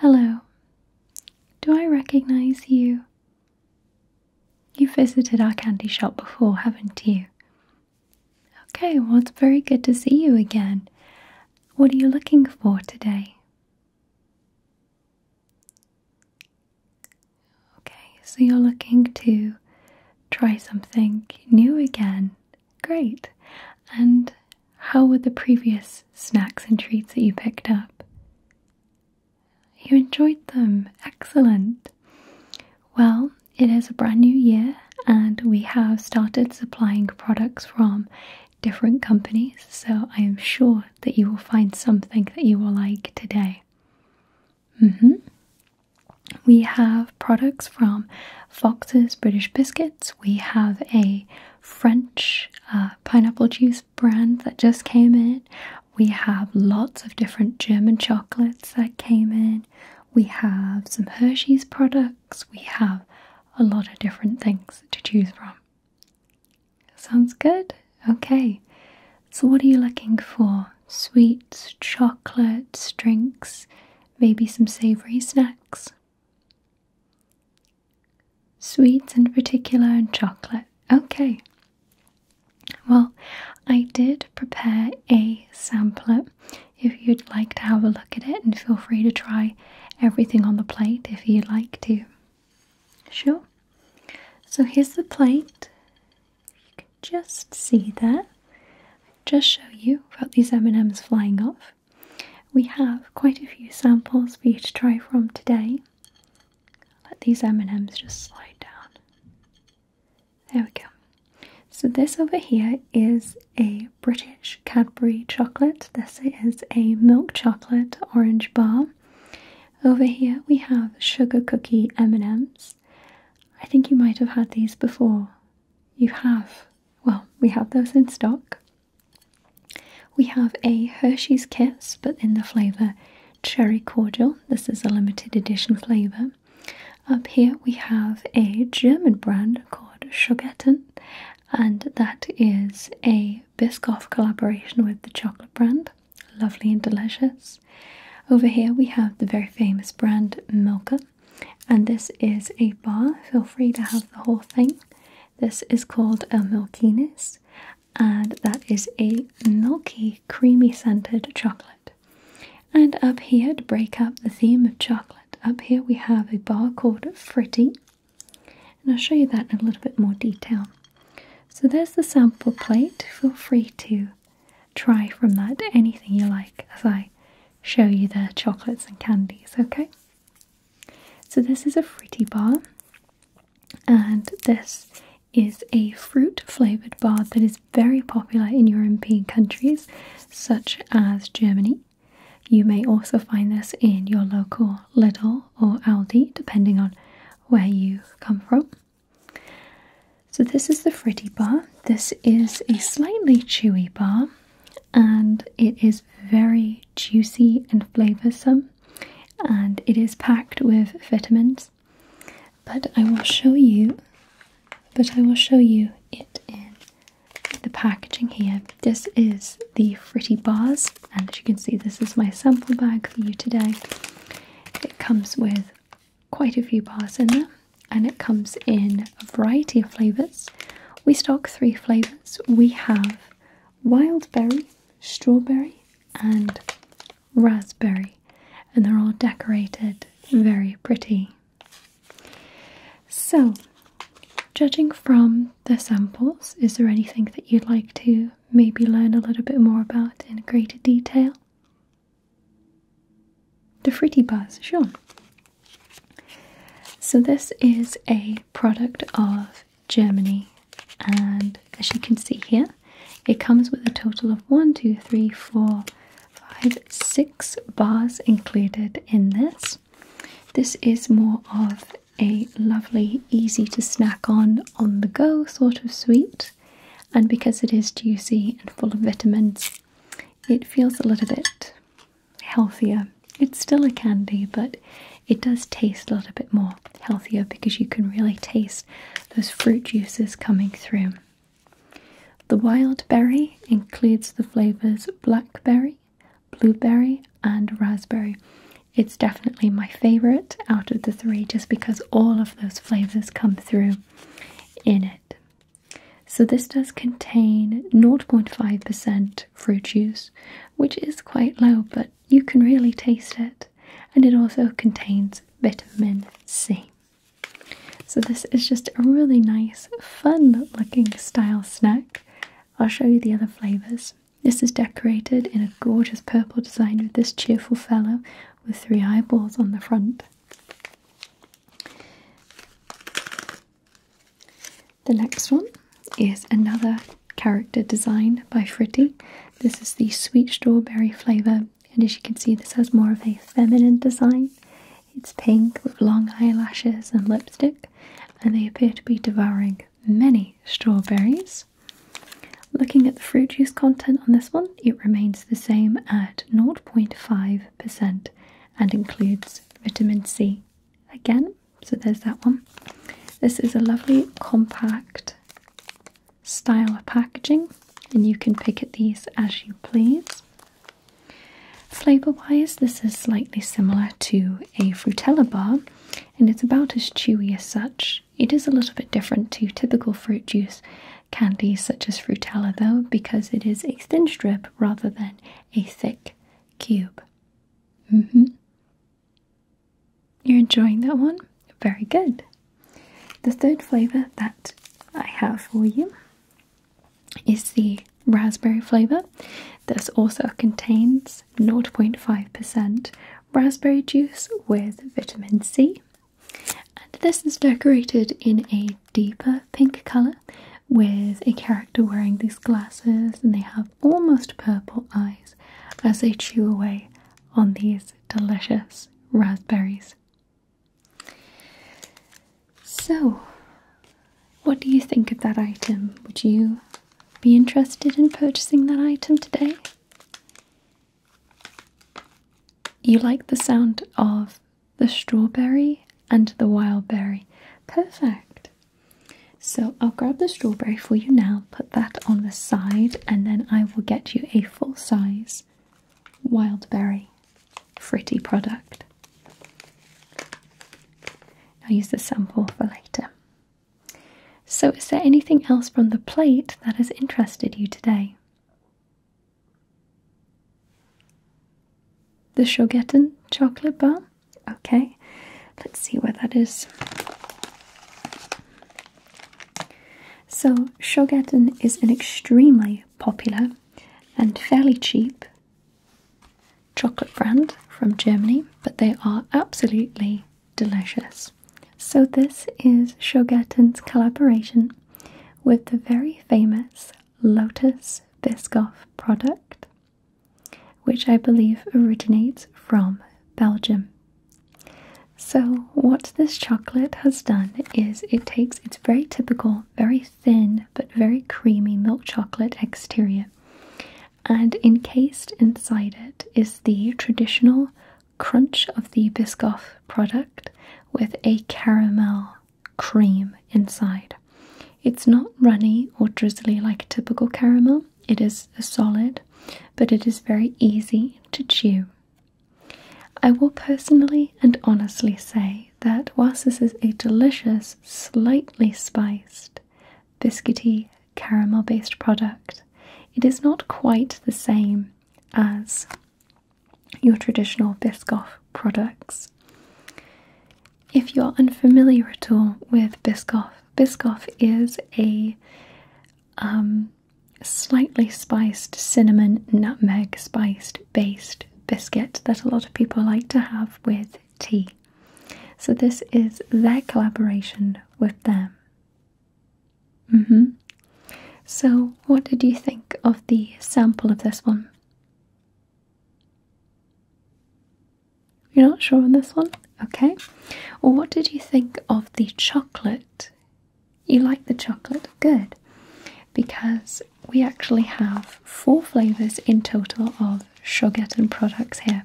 Hello. Do I recognize you? You've visited our candy shop before, haven't you? Okay, well, it's very good to see you again. What are you looking for today? Okay, so you're looking to try something new again. Great. And how were the previous snacks and treats that you picked up? You enjoyed them. Excellent. Well, it is a brand new year, and we have started supplying products from different companies, so I am sure that you will find something that you will like today. Mm-hmm. We have products from Fox's British Biscuits, we have a French uh, pineapple juice brand that just came in. We have lots of different German chocolates that came in. We have some Hershey's products. We have a lot of different things to choose from. Sounds good? Okay. So, what are you looking for? Sweets, chocolates, drinks, maybe some savory snacks? Sweets in particular and chocolate. Okay. Well, I did prepare a sampler if you'd like to have a look at it, and feel free to try everything on the plate if you'd like to. Sure. So here's the plate. You can just see that. just show you about these M&Ms flying off. We have quite a few samples for you to try from today. Let these M&Ms just slide down. There we go. So this over here is a British Cadbury chocolate. This is a milk chocolate orange bar. Over here we have sugar cookie M&Ms. I think you might have had these before. You have. Well, we have those in stock. We have a Hershey's Kiss, but in the flavour Cherry Cordial. This is a limited edition flavour. Up here we have a German brand called Schogetten, and that is a Biscoff collaboration with the chocolate brand. Lovely and delicious. Over here we have the very famous brand Milka, and this is a bar. Feel free to have the whole thing. This is called a milkiness, and that is a milky, creamy scented chocolate. And up here, to break up the theme of chocolate, up here we have a bar called Fritty, and I'll show you that in a little bit more detail. So there's the sample plate. Feel free to try from that anything you like as I show you the chocolates and candies, okay? So this is a fritty bar, and this is a fruit flavoured bar that is very popular in European countries such as Germany. You may also find this in your local Lidl or Aldi, depending on where you come from. So, this is the Fritty bar. This is a slightly chewy bar and it is very juicy and flavoursome, and it is packed with vitamins. But I will show you, but I will show you it in the packaging here. This is the Fritty bars, and as you can see, this is my sample bag for you today. It comes with quite a few bars in there, and it comes in a variety of flavours. We stock three flavours. We have wild berry, strawberry, and raspberry, and they're all decorated very pretty. So, judging from the samples, is there anything that you'd like to maybe learn a little bit more about in greater detail? The Fruity Bars, sure. So, this is a product of Germany. And as you can see here, it comes with a total of one, two, three, four, five, six bars included in this. This is more of a lovely, easy to snack on, on the go sort of sweet. And because it is juicy and full of vitamins, it feels a little bit healthier it's still a candy, but it does taste a little bit more healthier because you can really taste those fruit juices coming through. The wild berry includes the flavors blackberry, blueberry, and raspberry. It's definitely my favorite out of the three just because all of those flavors come through in it. So, this does contain 0.5% fruit juice, which is quite low, but you can really taste it, and it also contains vitamin C. So, this is just a really nice, fun looking style snack. I'll show you the other flavours. This is decorated in a gorgeous purple design with this cheerful fellow with three eyeballs on the front. The next one is another character design by Fritty. This is the sweet strawberry flavour, and as you can see, this has more of a feminine design. It's pink with long eyelashes and lipstick, and they appear to be devouring many strawberries. Looking at the fruit juice content on this one, it remains the same at 0.5% and includes vitamin C. Again, so there's that one. This is a lovely compact style of packaging, and you can pick at these as you please. Flavour wise, this is slightly similar to a Frutella bar, and it's about as chewy as such. It is a little bit different to typical fruit juice candies such as Frutella, though, because it is a thin strip rather than a thick cube. Mm-hmm. You're enjoying that one? Very good. The third flavour that I have for you is the raspberry flavour. This also contains 0.5% raspberry juice with vitamin C. And this is decorated in a deeper pink colour with a character wearing these glasses and they have almost purple eyes as they chew away on these delicious raspberries. So, what do you think of that item? Would you be interested in purchasing that item today? You like the sound of the strawberry and the wild berry. Perfect. So I'll grab the strawberry for you now, put that on the side, and then I will get you a full size wild berry fritty product. I'll use the sample for later. So, is there anything else from the plate that has interested you today? The Shogetten chocolate bar? Okay, let's see where that is. So, Shogaten is an extremely popular and fairly cheap chocolate brand from Germany, but they are absolutely delicious. So, this is Shogaten's collaboration with the very famous Lotus Biscoff product which I believe originates from Belgium. So, what this chocolate has done is it takes its very typical, very thin, but very creamy milk chocolate exterior, and encased inside it is the traditional crunch of the Biscoff product with a caramel cream inside. It's not runny or drizzly like a typical caramel, it is a solid, but it is very easy to chew. I will personally and honestly say that whilst this is a delicious, slightly spiced, biscuity, caramel based product, it is not quite the same as your traditional Biscoff products. If you're unfamiliar at all with Biscoff Biscoff is a um, slightly spiced cinnamon nutmeg spiced based biscuit that a lot of people like to have with tea. So this is their collaboration with them. Mm-hmm. So what did you think of the sample of this one? You're not sure on this one? Okay. Well, what did you think of the chocolate? You like the chocolate? Good. Because we actually have four flavours in total of Shogeton products here.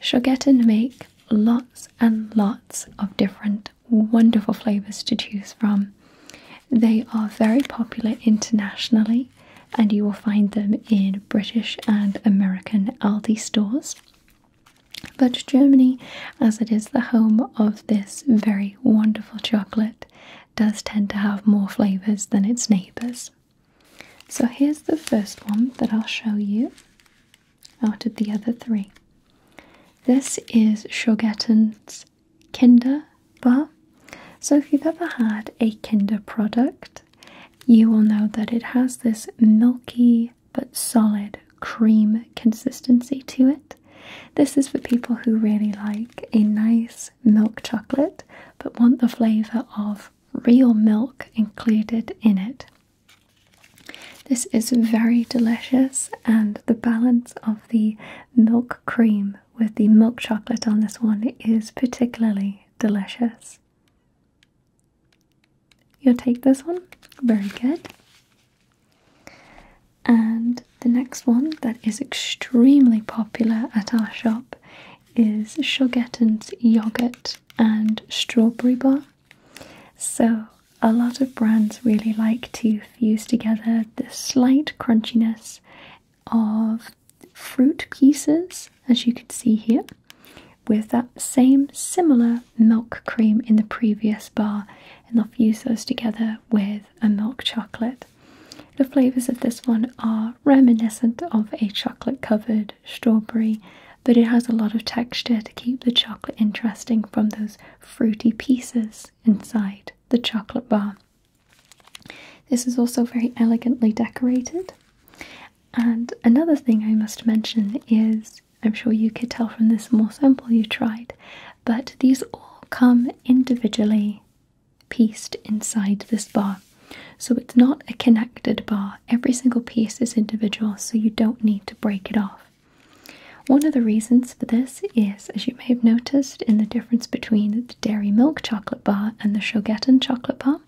Shogeton make lots and lots of different wonderful flavours to choose from. They are very popular internationally and you will find them in British and American Aldi stores but Germany, as it is the home of this very wonderful chocolate, does tend to have more flavours than its neighbours. So here's the first one that I'll show you out of the other three. This is Schogetten's Kinder Bar. So if you've ever had a Kinder product, you will know that it has this milky but solid cream consistency to it. This is for people who really like a nice milk chocolate but want the flavour of real milk included in it. This is very delicious, and the balance of the milk cream with the milk chocolate on this one is particularly delicious. You'll take this one? Very good. And the next one that is extremely popular at our shop is Shoggetten's yogurt and strawberry bar. So, a lot of brands really like to fuse together the slight crunchiness of fruit pieces, as you can see here, with that same similar milk cream in the previous bar, and i will fuse those together with a milk chocolate. The flavours of this one are reminiscent of a chocolate covered strawberry, but it has a lot of texture to keep the chocolate interesting from those fruity pieces inside the chocolate bar. This is also very elegantly decorated and another thing I must mention is I'm sure you could tell from this small sample you tried, but these all come individually pieced inside this bar. So it's not a connected bar. Every single piece is individual, so you don't need to break it off. One of the reasons for this is, as you may have noticed, in the difference between the dairy milk chocolate bar and the Shogeton chocolate bar,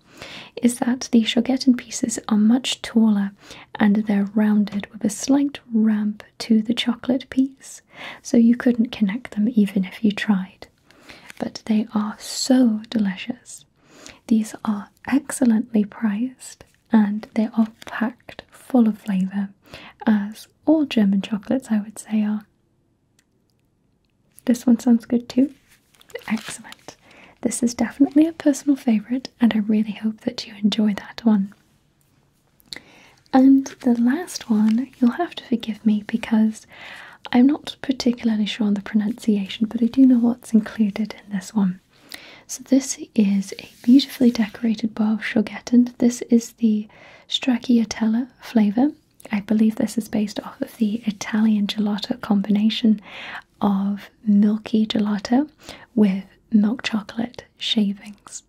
is that the Shogeton pieces are much taller and they're rounded with a slight ramp to the chocolate piece, so you couldn't connect them even if you tried. But they are so delicious. These are excellently priced and they are packed full of flavour, as all German chocolates, I would say, are. This one sounds good too. Excellent. This is definitely a personal favourite, and I really hope that you enjoy that one. And the last one, you'll have to forgive me because I'm not particularly sure on the pronunciation, but I do know what's included in this one. So, this is a beautifully decorated bar of Schogetten. This is the Stracciatella flavour. I believe this is based off of the Italian gelato combination of milky gelato with milk chocolate shavings.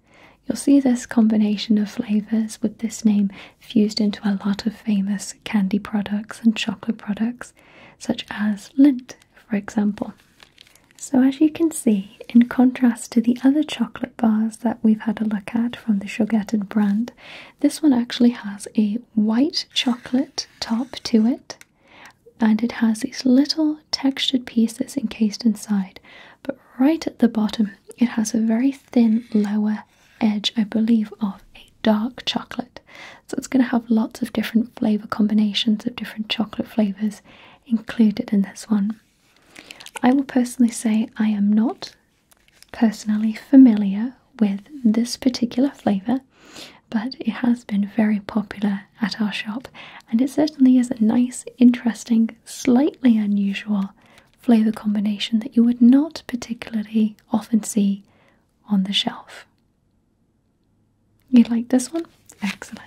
You'll see this combination of flavours with this name fused into a lot of famous candy products and chocolate products, such as Lindt, for example. So, as you can see, in contrast to the other chocolate bars that we've had a look at from the Sugarted brand, this one actually has a white chocolate top to it and it has these little textured pieces encased inside. But right at the bottom, it has a very thin lower edge, I believe, of a dark chocolate. So it's going to have lots of different flavor combinations of different chocolate flavors included in this one. I will personally say I am not personally familiar with this particular flavor but it has been very popular at our shop and it certainly is a nice, interesting, slightly unusual flavour combination that you would not particularly often see on the shelf. You like this one? Excellent.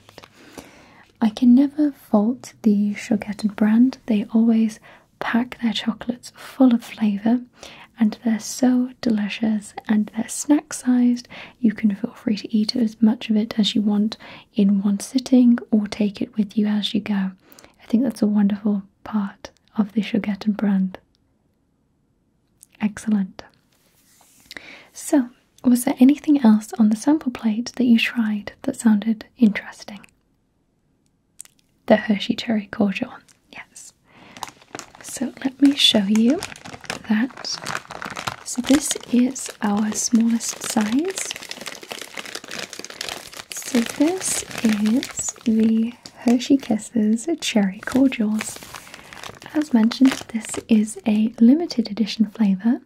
I can never fault the Sugarton brand. They always pack their chocolates full of flavour and they're so delicious and they're snack sized. You can feel free to eat as much of it as you want in one sitting or take it with you as you go. I think that's a wonderful part of the Shogeton brand. Excellent. So, was there anything else on the sample plate that you tried that sounded interesting? The Hershey Cherry Cordial, yes. So let me show you that. So this is our smallest size. So this is the Hershey Kisses Cherry Cordials. As mentioned, this is a limited edition flavour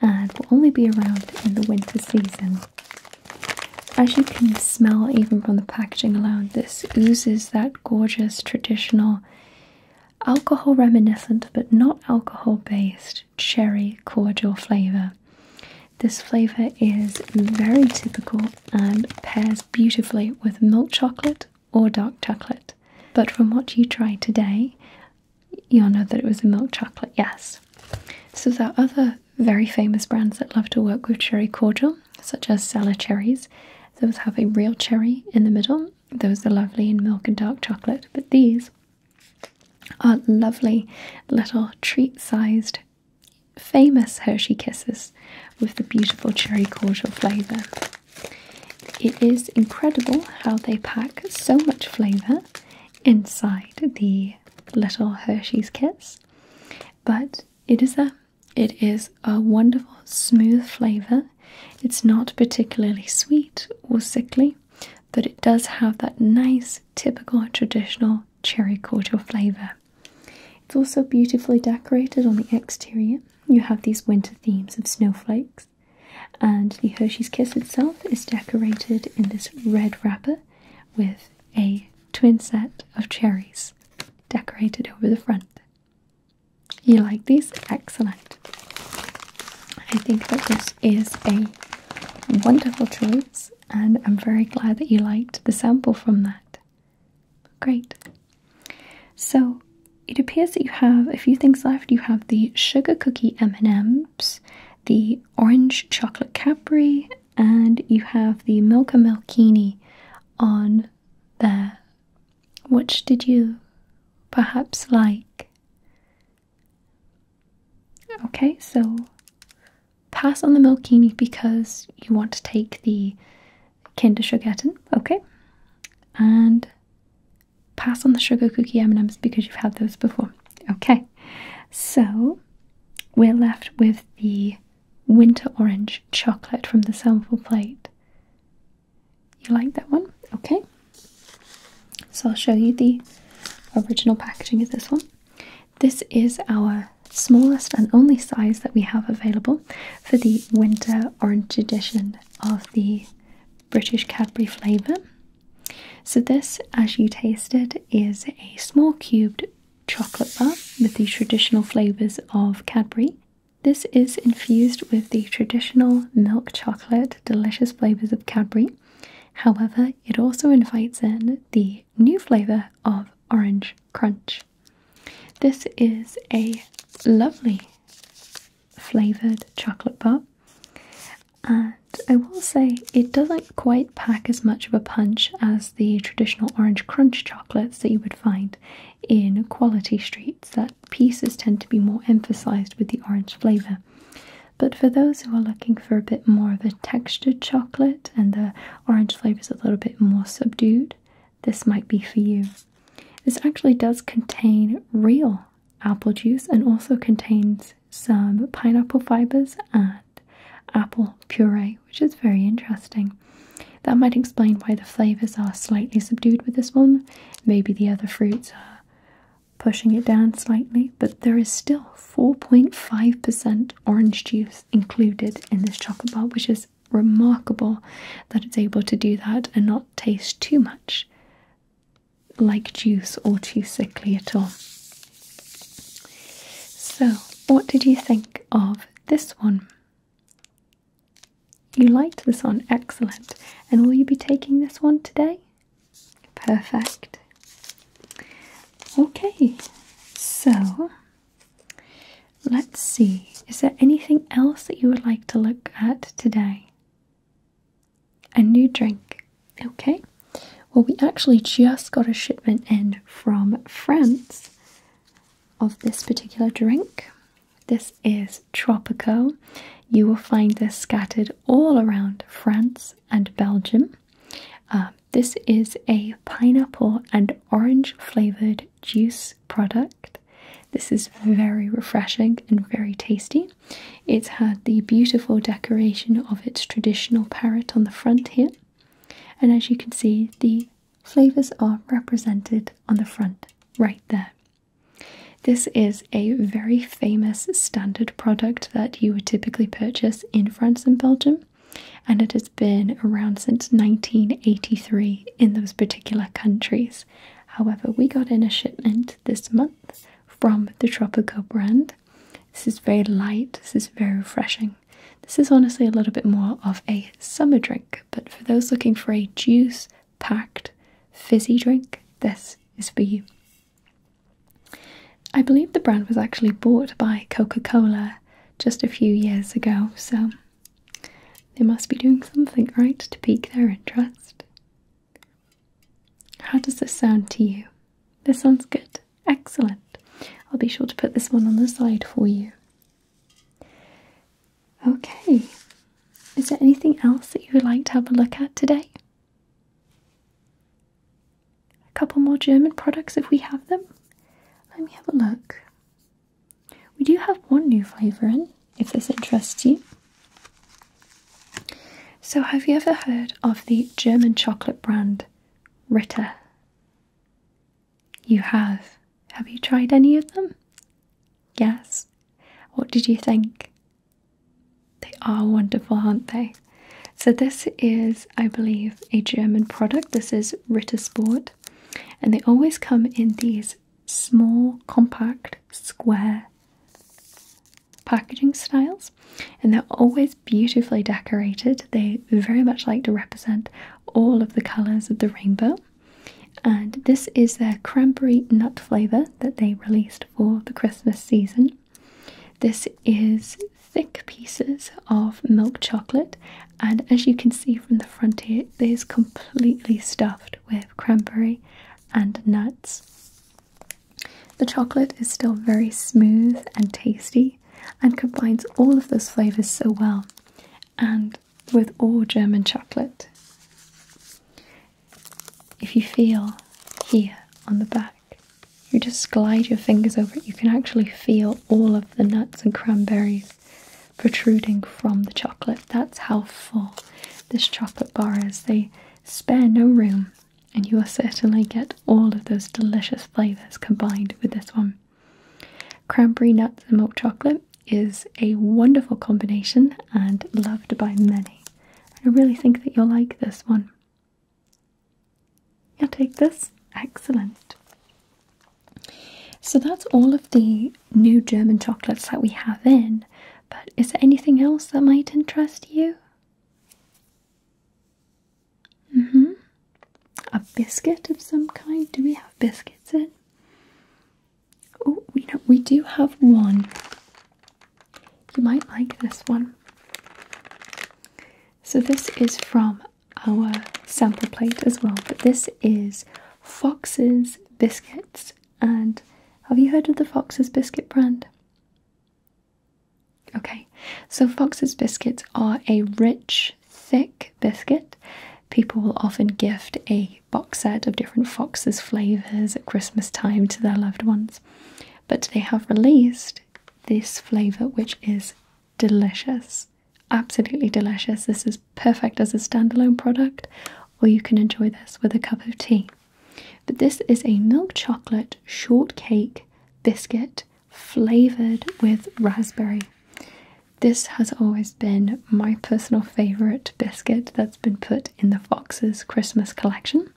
and will only be around in the winter season. As you can smell, even from the packaging alone, this oozes that gorgeous traditional alcohol reminiscent but not alcohol based cherry cordial flavor. This flavor is very typical and pairs beautifully with milk chocolate or dark chocolate. But from what you tried today, you'll know that it was a milk chocolate, yes. So there are other very famous brands that love to work with cherry cordial such as Sala cherries. Those have a real cherry in the middle. Those are lovely in milk and dark chocolate. But these are lovely little treat sized, famous Hershey Kisses with the beautiful cherry cordial flavour. It is incredible how they pack so much flavour inside the little Hershey's Kiss, but it is a it is a wonderful, smooth flavour. It's not particularly sweet or sickly, but it does have that nice, typical, traditional cherry cordial flavour. It's also beautifully decorated on the exterior. You have these winter themes of snowflakes, and the Hershey's Kiss itself is decorated in this red wrapper with a twin set of cherries decorated over the front. You like these? Excellent. I think that this is a wonderful choice, and I'm very glad that you liked the sample from that. Great. So it appears that you have a few things left. You have the sugar cookie M&Ms, the orange chocolate Capri, and you have the Milka Milkini on there which did you perhaps like? Okay, so pass on the Milkini because you want to take the Kinder Sugarten, okay? And pass on the sugar cookie M&Ms because you've had those before. Okay, so we're left with the winter orange chocolate from the sample plate. You like that one? Okay. So I'll show you the original packaging of this one. This is our smallest and only size that we have available for the winter orange edition of the British Cadbury flavour. So this, as you tasted, is a small cubed chocolate bar with the traditional flavours of Cadbury this is infused with the traditional milk chocolate delicious flavors of Cadbury. However, it also invites in the new flavor of orange crunch. This is a lovely flavored chocolate bar. And I will say it doesn't quite pack as much of a punch as the traditional orange crunch chocolates that you would find in quality streets that pieces tend to be more emphasized with the orange flavor. But for those who are looking for a bit more of a textured chocolate and the orange flavor is a little bit more subdued, this might be for you. This actually does contain real apple juice and also contains some pineapple fibers and apple puree, which is very interesting. That might explain why the flavours are slightly subdued with this one. Maybe the other fruits are pushing it down slightly, but there is still 4.5% orange juice included in this chocolate bar, which is remarkable that it's able to do that and not taste too much like juice or too sickly at all. So, what did you think of this one? You liked this one, excellent. And will you be taking this one today? Perfect. Okay, so let's see. Is there anything else that you would like to look at today? A new drink. Okay. Well, we actually just got a shipment in from France of this particular drink. This is Tropical. You will find this scattered all around France and Belgium. Uh, this is a pineapple and orange flavored juice product. This is very refreshing and very tasty. It's had the beautiful decoration of its traditional parrot on the front here. And as you can see, the flavours are represented on the front right there. This is a very famous standard product that you would typically purchase in France and Belgium, and it has been around since 1983 in those particular countries. However, we got in a shipment this month from the Tropical brand. This is very light, this is very refreshing. This is honestly a little bit more of a summer drink, but for those looking for a juice packed fizzy drink, this is for you. I believe the brand was actually bought by Coca Cola just a few years ago, so they must be doing something right to pique their interest. How does this sound to you? This sounds good. Excellent. I'll be sure to put this one on the side for you. Okay, is there anything else that you would like to have a look at today? A couple more German products if we have them. Let me have a look. We do have one new flavour in, if this interests you. So, have you ever heard of the German chocolate brand Ritter? You have. Have you tried any of them? Yes. What did you think? They are wonderful, aren't they? So, this is, I believe, a German product. This is Rittersport, and they always come in these small, compact, square packaging styles, and they're always beautifully decorated. They very much like to represent all of the colours of the rainbow and this is their cranberry nut flavour that they released for the Christmas season. This is thick pieces of milk chocolate, and as you can see from the front here, it is completely stuffed with cranberry and nuts. The chocolate is still very smooth and tasty and combines all of those flavours so well. And with all German chocolate. If you feel here on the back, you just glide your fingers over it. You can actually feel all of the nuts and cranberries protruding from the chocolate. That's how full this chocolate bar is. They spare no room, and you will certainly get all of those delicious flavours combined with this one. Cranberry nuts and milk chocolate is a wonderful combination and loved by many. I really think that you'll like this one. you take this? Excellent. So that's all of the new German chocolates that we have in, but is there anything else that might interest you? hmm. A biscuit of some kind? Do we have biscuits in? Oh, we do have one. You might like this one. So this is from our sample plate as well, but this is Fox's biscuits. And have you heard of the Fox's biscuit brand? Okay, so Fox's biscuits are a rich, thick biscuit People will often gift a box set of different foxes flavors at Christmas time to their loved ones. But they have released this flavor, which is delicious. Absolutely delicious. This is perfect as a standalone product, or you can enjoy this with a cup of tea. But this is a milk chocolate shortcake biscuit flavored with raspberry. This has always been my personal favourite biscuit that's been put in the Foxes Christmas collection.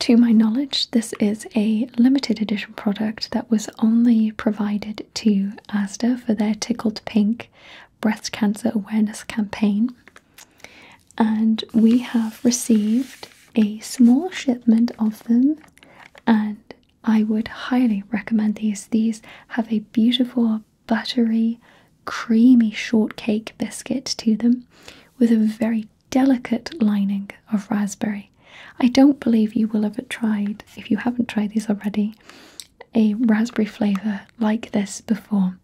To my knowledge, this is a limited edition product that was only provided to Asda for their Tickled Pink breast cancer awareness campaign. And we have received a small shipment of them, and I would highly recommend these. These have a beautiful buttery, creamy shortcake biscuit to them with a very delicate lining of raspberry. I don't believe you will ever tried, if you haven't tried these already, a raspberry flavour like this before.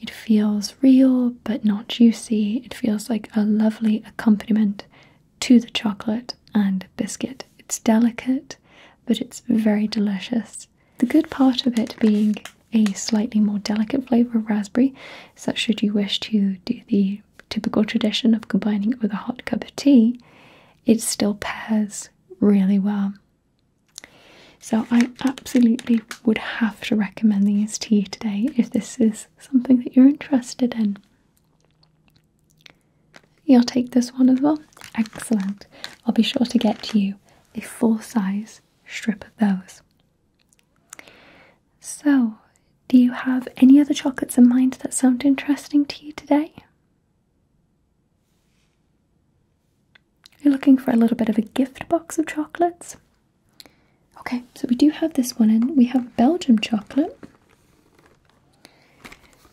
It feels real but not juicy. It feels like a lovely accompaniment to the chocolate and biscuit. It's delicate but it's very delicious. The good part of it being a slightly more delicate flavour of raspberry is that should you wish to do the typical tradition of combining it with a hot cup of tea, it still pairs really well. So I absolutely would have to recommend these to you today if this is something that you're interested in. You'll take this one as well? Excellent. I'll be sure to get to you a full size strip of those. So, do you have any other chocolates in mind that sound interesting to you today? You're looking for a little bit of a gift box of chocolates? Okay, so we do have this one, and we have Belgium chocolate.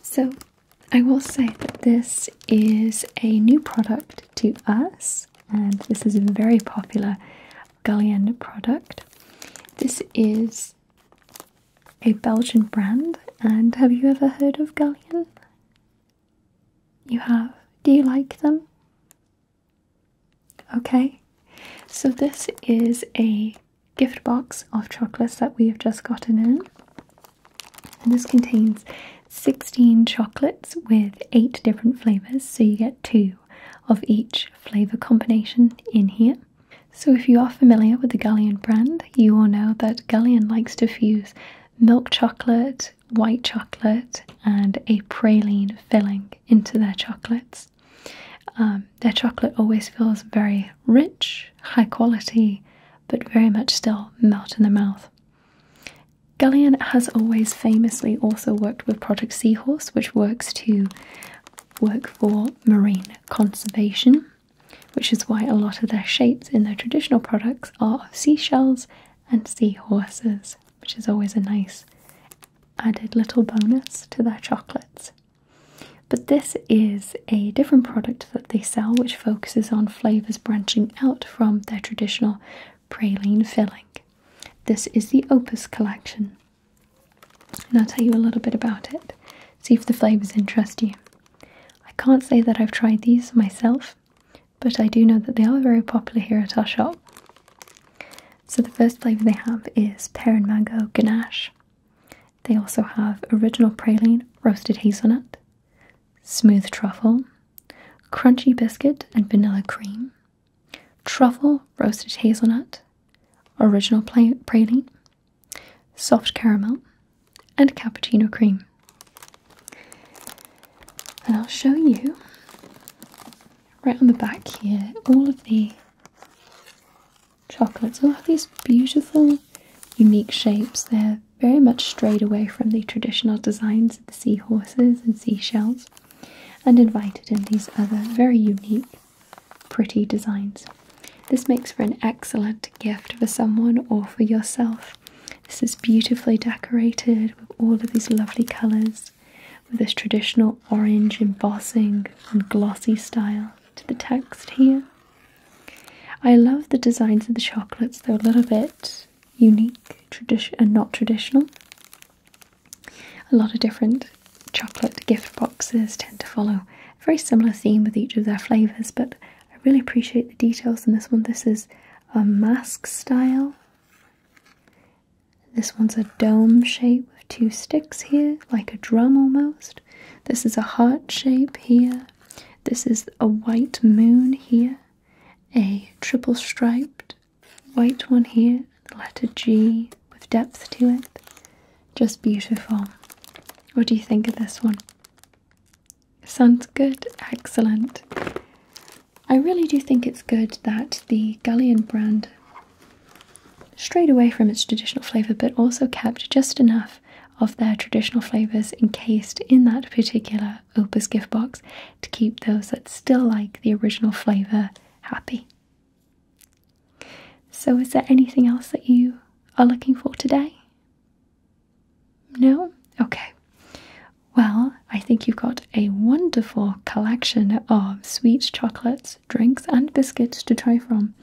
So, I will say that this is a new product to us, and this is a very popular Gullion product. This is a Belgian brand, and have you ever heard of Gullion? You have? Do you like them? Okay, so this is a gift box of chocolates that we have just gotten in. And this contains 16 chocolates with 8 different flavours, so you get 2 of each flavour combination in here. So, if you are familiar with the Galleon brand, you will know that Galleon likes to fuse milk chocolate, white chocolate, and a praline filling into their chocolates. Um, their chocolate always feels very rich, high quality, but very much still melt in the mouth. Gallian has always famously also worked with Project Seahorse, which works to work for marine conservation, which is why a lot of their shapes in their traditional products are of seashells and seahorses, which is always a nice added little bonus to their chocolates. But this is a different product that they sell, which focuses on flavors branching out from their traditional praline filling. This is the Opus collection, and I'll tell you a little bit about it. See if the flavors interest you. I can't say that I've tried these myself, but I do know that they are very popular here at our shop. So, the first flavour they have is pear and mango ganache. They also have original praline, roasted hazelnut, smooth truffle, crunchy biscuit and vanilla cream, truffle roasted hazelnut, original praline, soft caramel, and cappuccino cream. And I'll show you right on the back here all of the chocolates. All have these beautiful, unique shapes. They're very much strayed away from the traditional designs of the seahorses and seashells and invited in these other very unique, pretty designs. This makes for an excellent gift for someone or for yourself. This is beautifully decorated with all of these lovely colours, with this traditional orange embossing and glossy style to the text here. I love the designs of the chocolates, they're a little bit unique, and not traditional. A lot of different chocolate gift boxes tend to follow a very similar theme with each of their flavors, but I really appreciate the details in this one. This is a mask style. This one's a dome shape with two sticks here, like a drum almost. This is a heart shape here. This is a white moon here a triple striped white one here, the letter G with depth to it. Just beautiful. What do you think of this one? Sounds good, excellent. I really do think it's good that the Galleon brand strayed away from its traditional flavour but also kept just enough of their traditional flavours encased in that particular Opus gift box to keep those that still like the original flavour happy. So, is there anything else that you are looking for today? No? Okay. Well, I think you've got a wonderful collection of sweet chocolates, drinks, and biscuits to try from.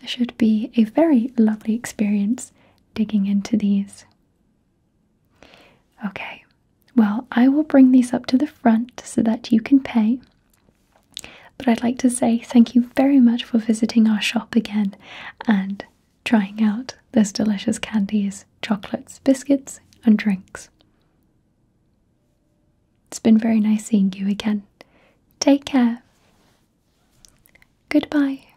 There should be a very lovely experience digging into these. Okay, well, I will bring these up to the front so that you can pay. But I'd like to say thank you very much for visiting our shop again and trying out those delicious candies, chocolates, biscuits, and drinks. It's been very nice seeing you again. Take care. Goodbye.